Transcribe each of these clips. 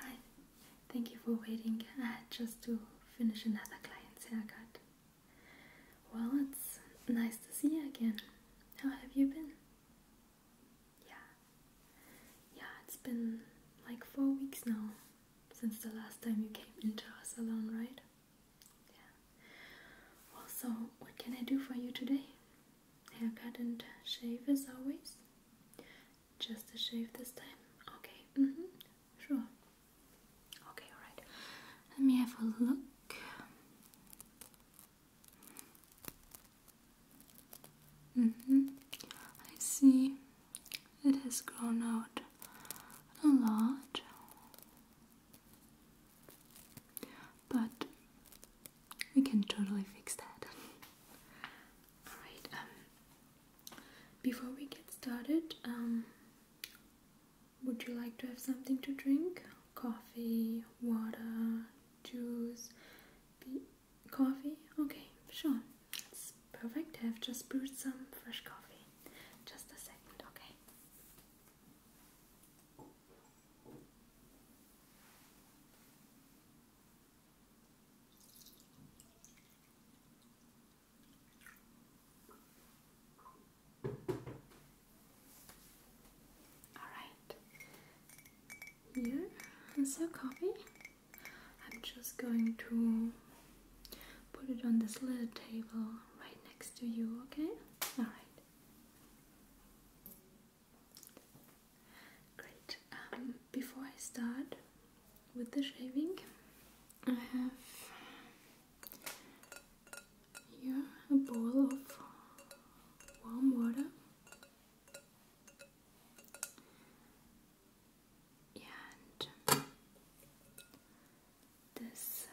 Hi, thank you for waiting. I had just to finish another client's haircut. Well, it's nice to see you again. How have you been? Yeah, yeah, it's been like four weeks now since the last time you came into our salon, right? Yeah. Well, so what can I do for you today? Haircut and shave as always. Just a shave this time? Okay, mm -hmm. sure. Okay, alright. Let me have a look. Mm hmm. I see it has grown out a lot. But we can totally fix that. Alright, um, before we get started, um, would you like to have something to drink? Coffee, water, juice, coffee? Okay, sure. It's perfect. I've just brewed some fresh coffee. Just a second, okay? Alright, here is your coffee. I'm just going to put it on this little table right next to you, okay? Alright. Great. Um, before I start with the shaving, I have here a bowl of warm water. And this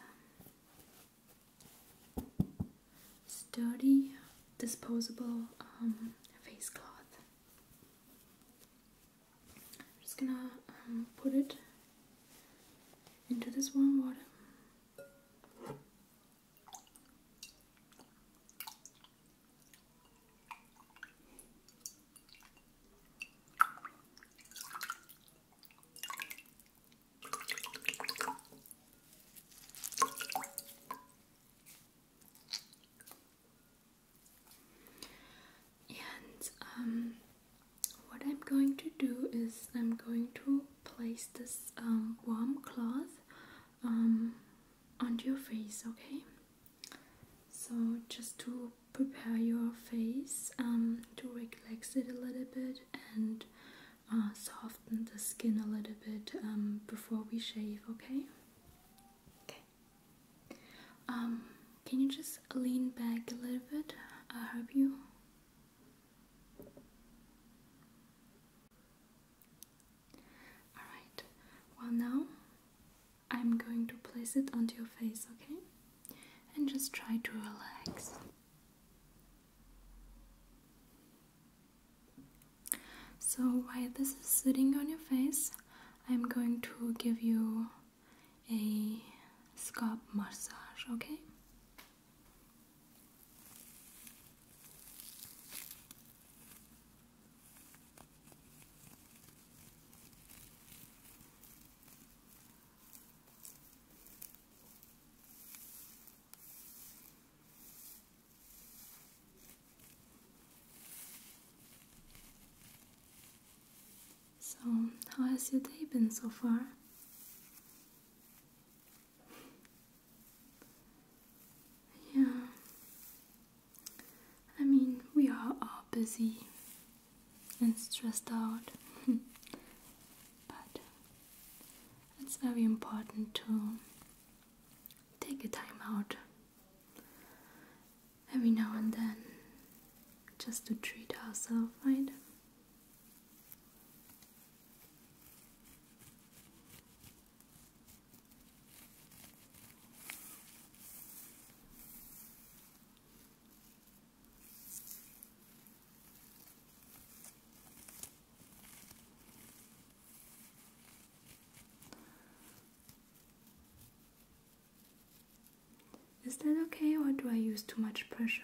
um, sturdy disposable um, face cloth. I'm just gonna um, put it into this warm water. And um, what I'm going to do is I'm going to place this um, warm cloth um, onto your face, okay? So just to prepare your face um, to relax it a little bit and uh, soften the skin a little bit um, before we shave, okay? Okay. Um, can you just lean back a little bit? I help you. Alright, well, now I'm going to place it onto your face, okay? And just try to relax. So, while this is sitting on your face, I'm going to give you a scalp massage, okay? So, how has your day been so far? Yeah, I mean, we are all busy and stressed out, but it's very important to take a time out every now and then just to treat ourselves, right? Is that okay or do I use too much pressure?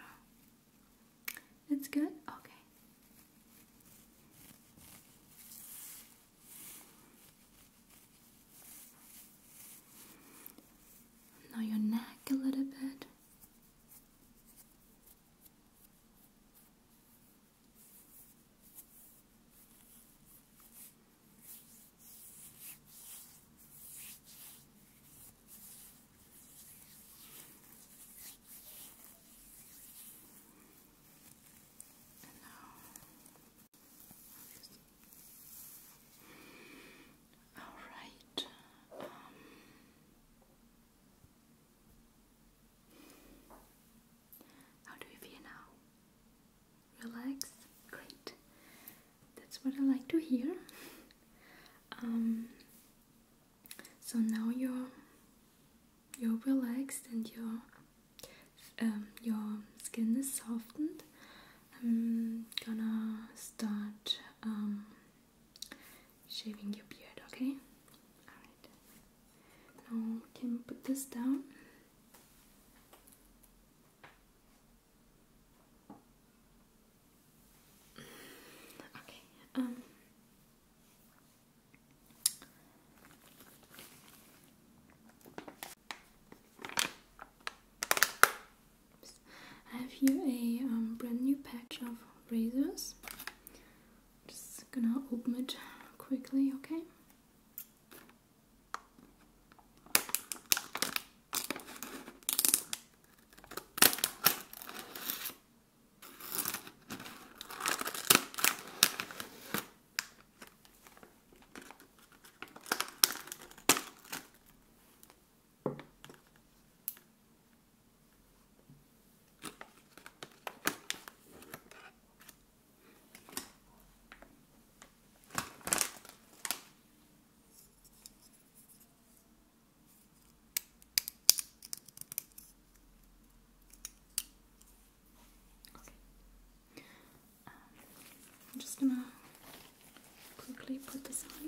It's good? Okay. Now your neck a little bit. And now, all right. Um, how do you feel now? Relax? Great. That's what I like to hear. Um, so now you're you're relaxed and your um, your skin is softened. I'm gonna start um, shaving your beard, okay? Alright. Now, can put this down? Okay, um. I have here a um, brand new patch of razors. Just gonna open it quickly, okay? I'm just gonna quickly put this on.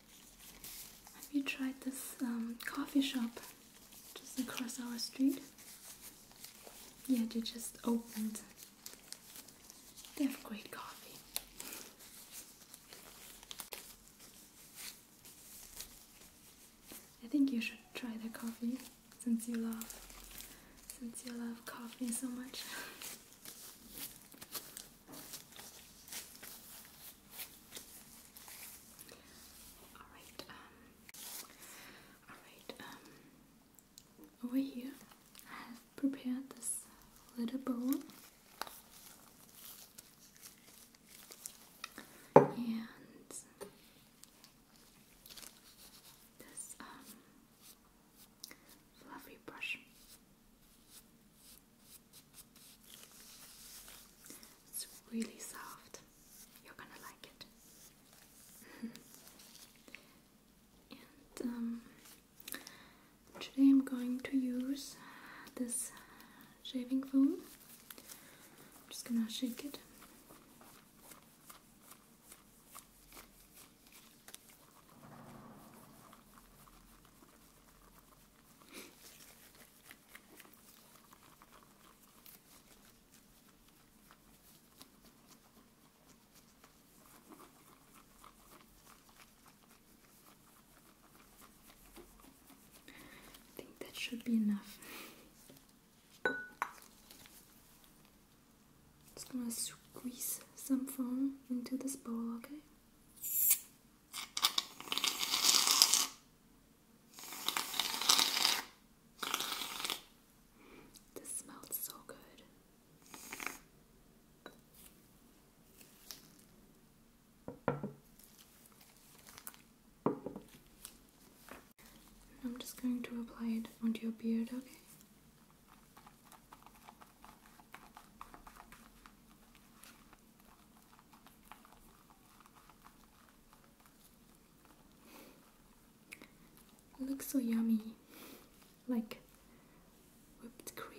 Have you tried this um, coffee shop just across our street? Yeah, they just opened. They have great coffee. I think you should try their coffee since you love since you love coffee so much. Alright, um, alright, um, over here I have prepared this little bowl and this um, fluffy brush. It's really soft. You're gonna like it. and um, today I'm going to use this shaving foam. just gonna shake it. I think that should be enough. Just gonna squeeze some foam into this bowl, okay? This smells so good. I'm just going to apply it onto your beard, okay? It looks so yummy, like whipped cream.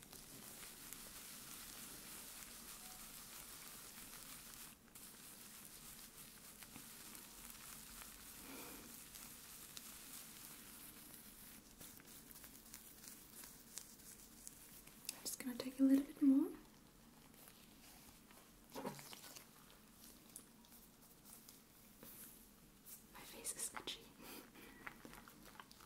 I'm just going to take a little bit more. My face is itchy.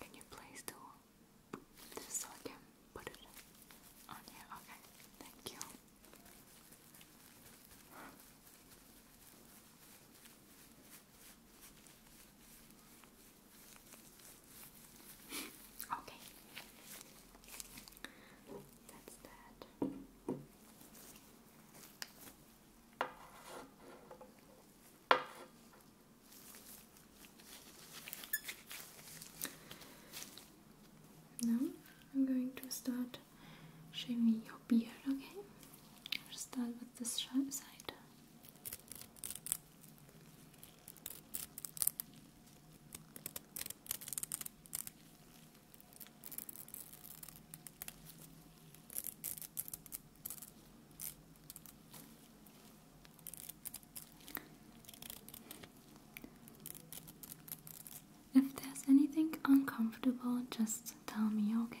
Can you please do this so I can put it on here? Okay, thank you. Okay. That's that. Now I'm going to start shaving your beard, okay? start with of this sharp side. If there's anything uncomfortable, just tell me, okay?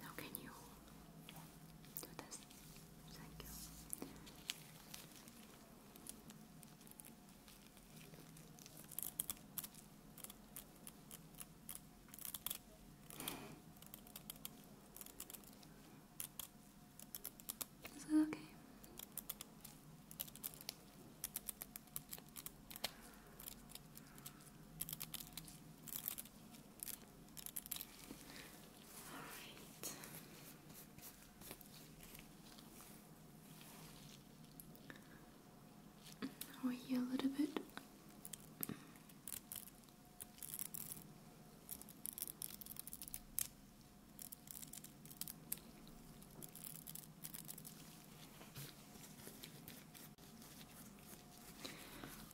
Now can you do this? Thank you. Is that okay? Are we here a little bit?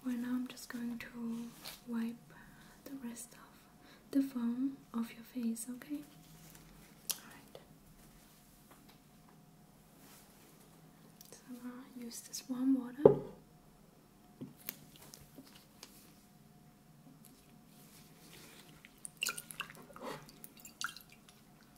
Well, now I'm just going to wipe the rest of the foam off your face, okay? Alright. So I'm gonna use this warm water.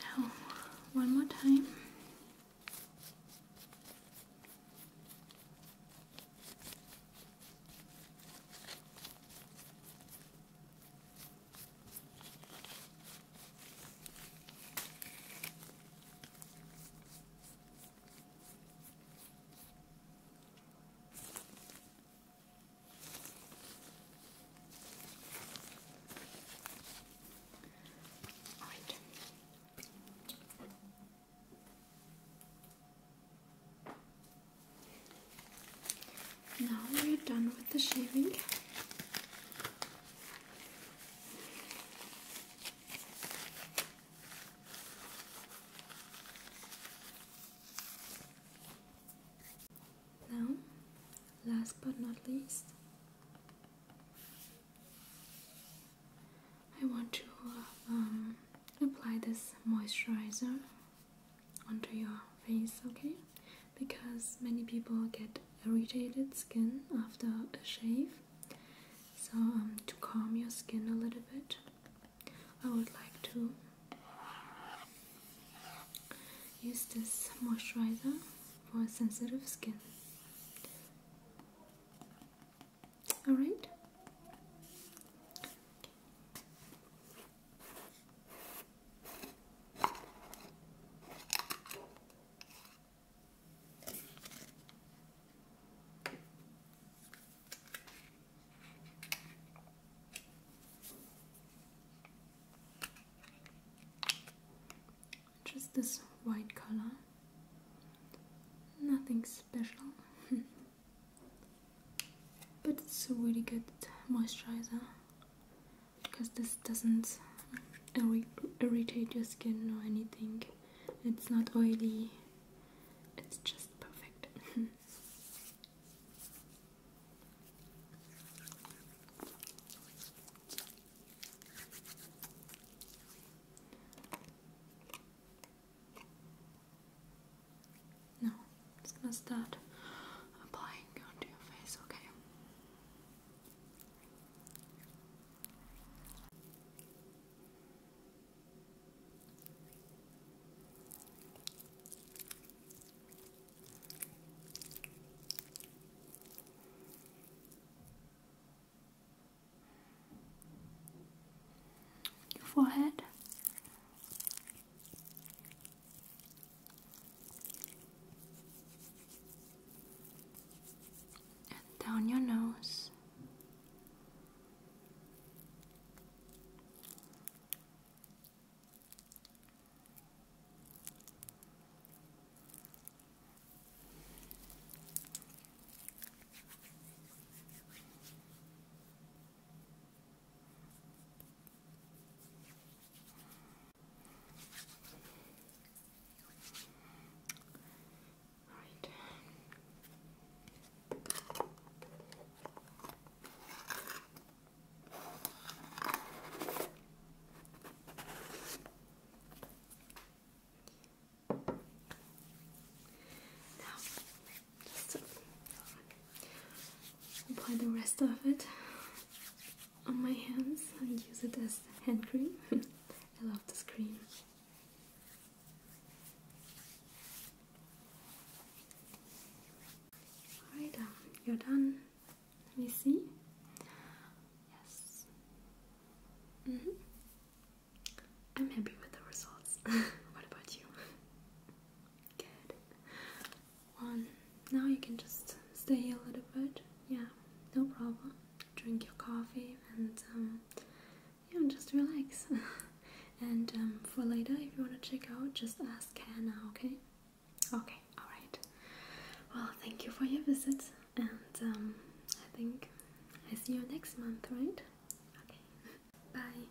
Now, one more time. Now we're done with the shaving. Now, last but not least, I want to um, apply this moisturizer onto your face, okay? because many people get irritated skin after a shave. So, um, to calm your skin a little bit, I would like to use this moisturizer for sensitive skin. Alright? Just this white color, nothing special, but it's a really good moisturizer because this doesn't irritate your skin or anything. It's not oily, it's just perfect. now, i gonna start applying onto your face, okay? Your forehead and down your nose. Right. Now, just apply the rest of it on my hands. and use it as hand cream. I love this cream. Alright, um, you're done. Let me see. Yes. Mm-hmm. I'm happy with the results. what about you? Good one. Now you can just stay a little bit. Yeah, no problem. Drink your coffee and um, yeah, just relax. and um, for later, if you want to check out, just ask Hannah. Okay? Okay. All right. Well, thank you for your visit, and um, I think I see you next month, right? Okay. Bye.